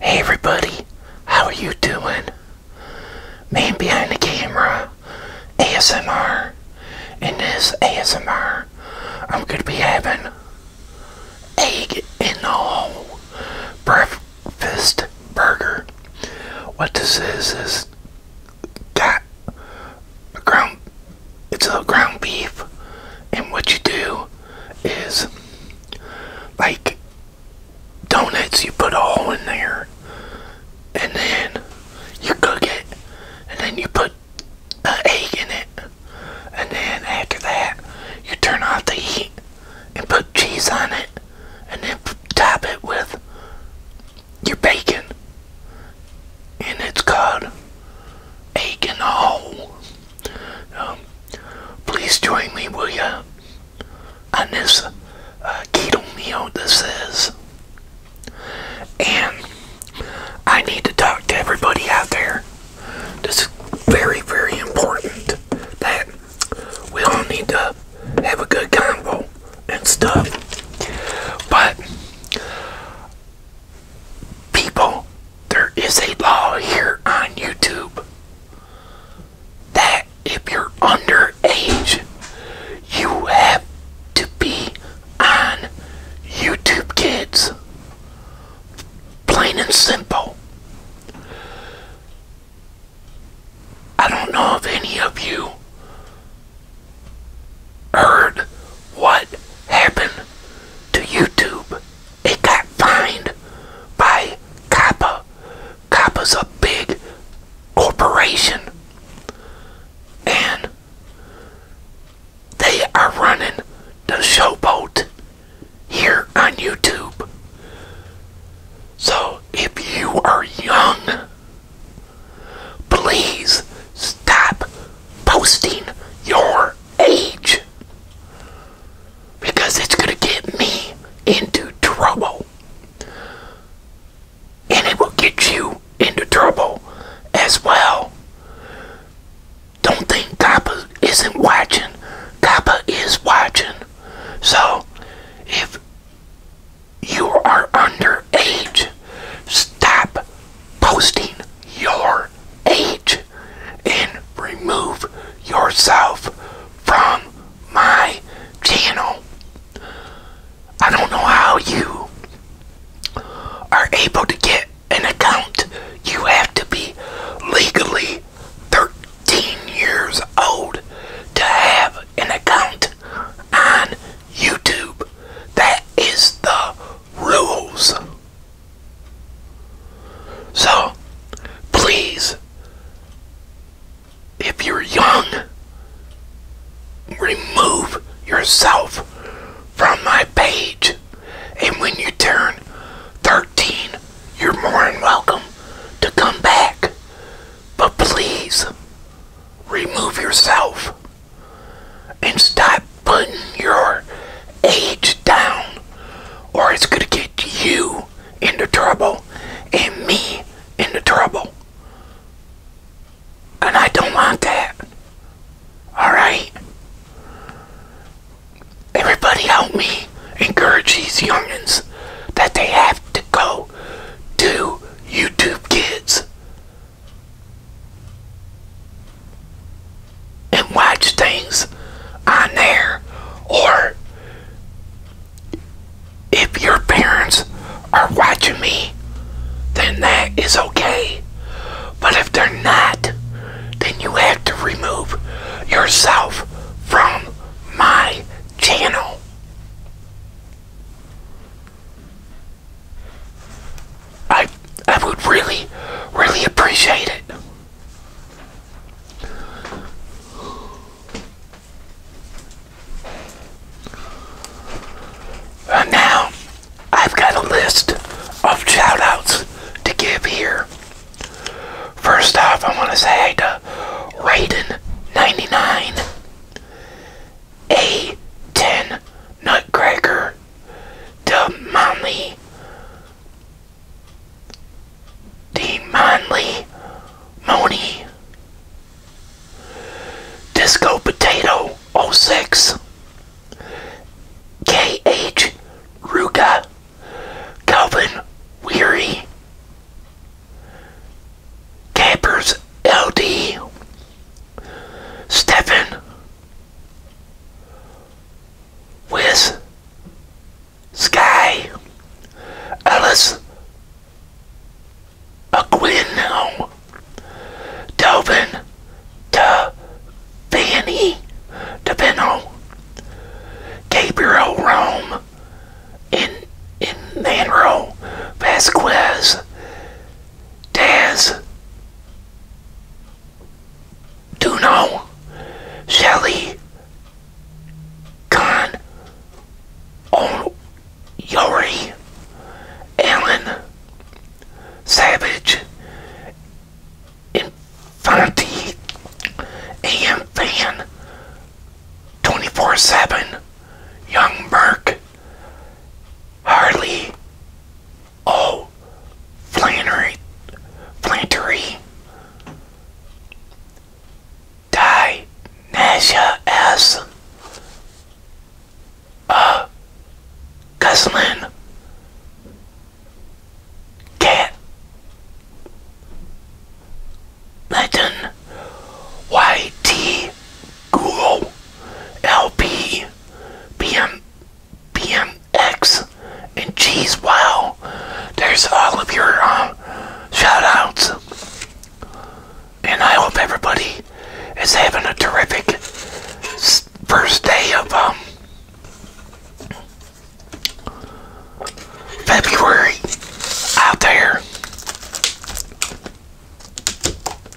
Hey everybody, how are you doing? Man behind the camera, ASMR. In this ASMR, I'm going to be having egg in the hole breakfast burger. What this is is got ground, it's a ground beef, and what you do is like donuts you put a hole in there and then you cook it and then you put an egg in it and then after that you turn off the heat and put cheese on it and then top it with your bacon and it's called egg and a hole um, please join me, will you, on this uh, keto meal this is. And I need to talk to everybody out there. This is very, very important that we all need to have a good convo and stuff. But people there is a law here on YouTube that if you're underage, you have to be on YouTube Kids. Plain and simple. I don't know if any of you heard what happened to YouTube it got fined by COPPA. COPPA's a big corporation. And they are running the showboat here on YouTube. So if you are young, please stop posting your age because it's going to get me into trouble. And it will get you into trouble as well. Don't think Kappa isn't watching. Kappa is watching. So, if you are under age, stop posting your your and remove yourself from my channel. I don't know how you are able to get an account. You have to be legally 13 years old to have an account on YouTube. That is the rules. So, please, if you're young, remove yourself from my page. And when you turn 13, you're more than welcome to come back. But please, remove yourself and stop not putting your age down, or it's going to get you into trouble and me into trouble. And I don't want that. Alright? Everybody help me encourage these youngins that they have to go to YouTube Kids and watch things on there or if your parents are watching me then that is okay but if they're not then you have to remove yourself from my channel I I would really, really appreciate it. now I've got a list of shout to give here. First off, I want to say to Raiden99, A10 Nutcracker, Demonly, Demonly, Moni, Disco Potato 06, KH Ruga, Calvin Weary, Campers LD, Stefan with Sky Ellis Aquino Tobin to Fanny DePino Gabriel Rome in in Manro Vasquez Daz Duno, Shelly, Khan, o Yori, Alan, Savage, Infante, AM Fan, 24-7, Young Burke, Harley, Oh, Flannery, Flannery, Die, Nasha S. Uh, Guslin, Cat, YT, Google, LP, PMX and Cheese Wow. There's all of your uh, shoutouts, And I hope everybody is having a terrific first day of um, February out there.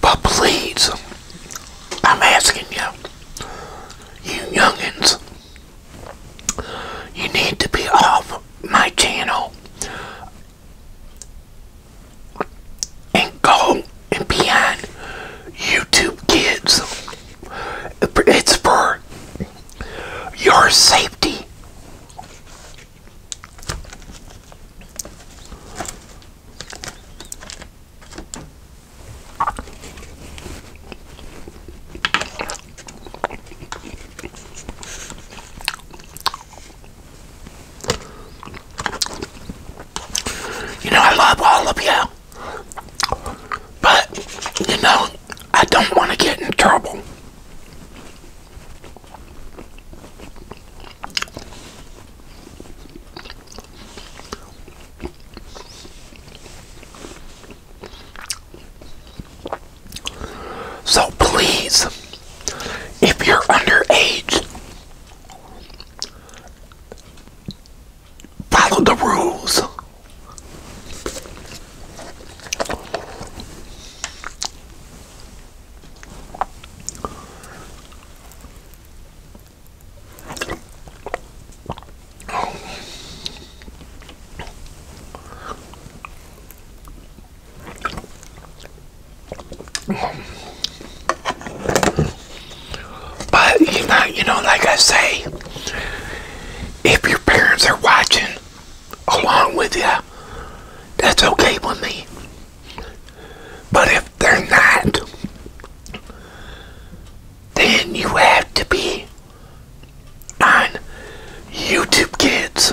But please, I'm asking you, you youngins, you need to be off my channel and go and be on YouTube Kids. It's for your safety. You know, I love all of you, but you know, I don't want to get in trouble. So please, if you're underage, Follow the rules. But you know, like I say, if your parents are watching along with you, that's okay with me. But if they're not, then you have to be on YouTube Kids.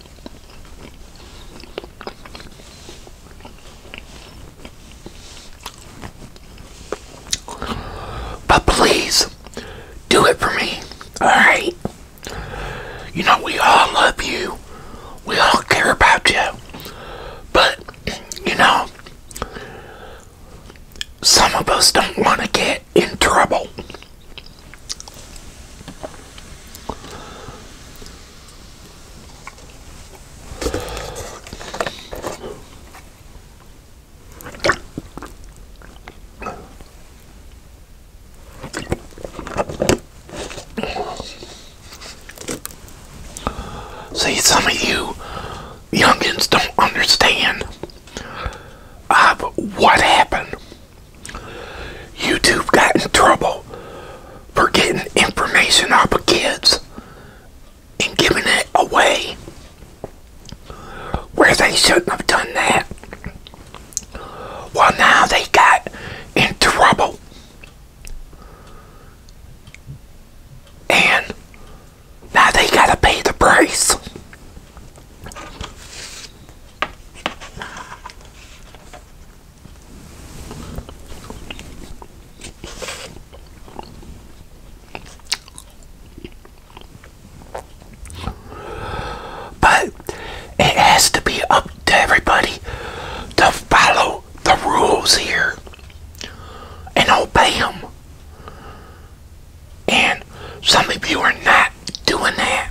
But please do it for me. Alright? You know, we all love you. We all care about you. But, you know, some of us don't want to get in trouble. See, some of you youngins don't understand of what happened. YouTube got in trouble for getting information off of kids and giving it away where they shouldn't have done that. Well, now they got in trouble. And now they gotta pay the price. But it has to be up to everybody to follow the rules here and obey them. And some of you are not doing that.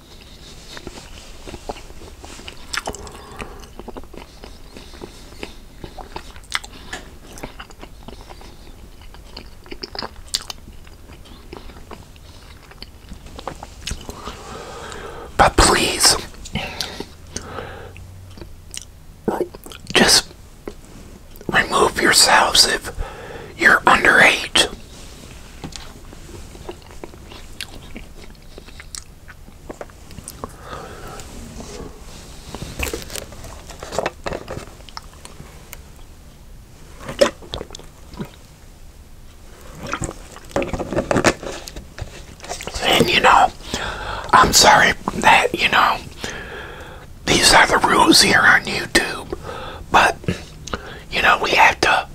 But please, just remove yourselves if you're underage. And you know, I'm sorry that, you know, these are the rules here on YouTube, but you know, we have to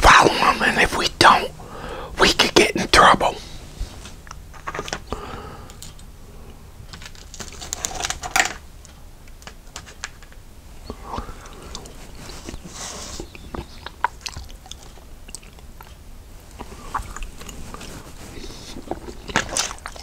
follow them, and if we don't, we could get in trouble.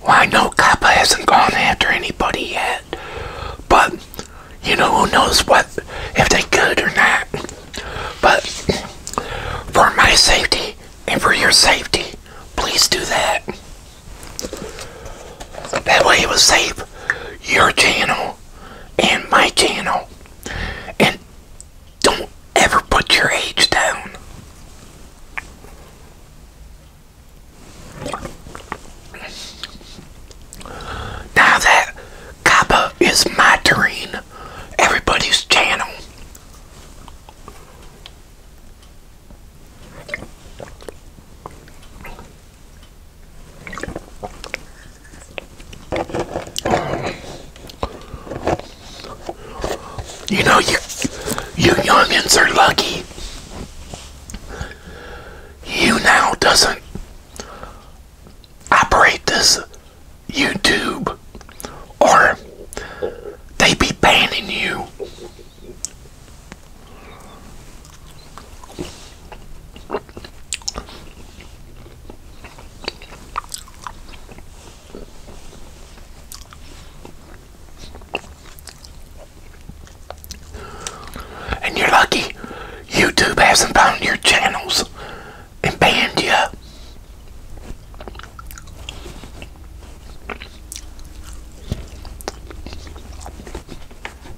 Well, I know Kappa hasn't gone after anybody yet, but you know who knows what if they could or not. But for my safety and for your safety, please do that. That way it will save your channel and my channel. And don't ever put your age down. Now that Kappa is monitoring everybody's channel, you know, you, you youngins are lucky. You now doesn't operate this YouTube or they be banning you. And you're lucky YouTube hasn't found your channels and banned you.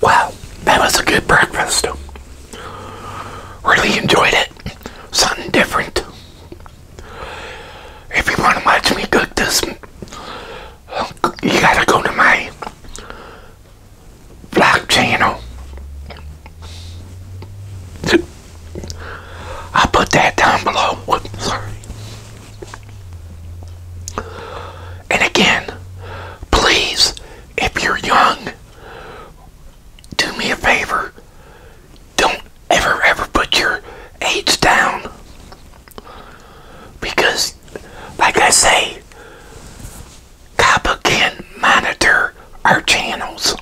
Wow, that was a good breakfast. Really enjoyed it. Something different. If you want to watch me cook this, you gotta go to my vlog channel. I'll put that down below. sorry. And again, please, if you're young, do me a favor. Don't ever, ever put your age down. Because, like I say, Kappa can monitor our channels.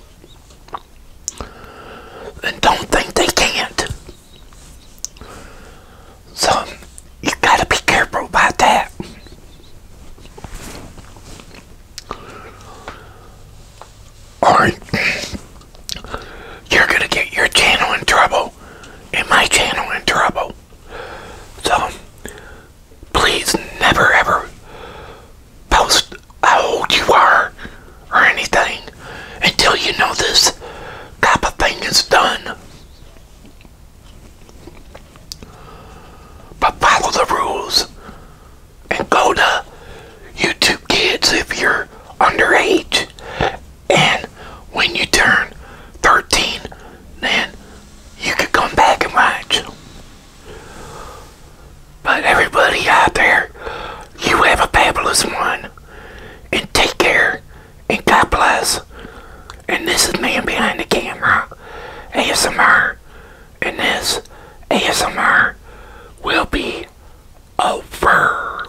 And don't think they can't. So, you gotta be careful about that. Or you're gonna get your channel in trouble and my channel in trouble. So, please never ever post how old you are or anything until you know this type of thing is done. But follow the rules and go to YouTube Kids if you're underage. And when you turn 13, then you could come back and watch. But everybody out there, you have a fabulous one. And take care. And God bless. And this is Man Behind the Camera, ASMR. And this ASMR will be over.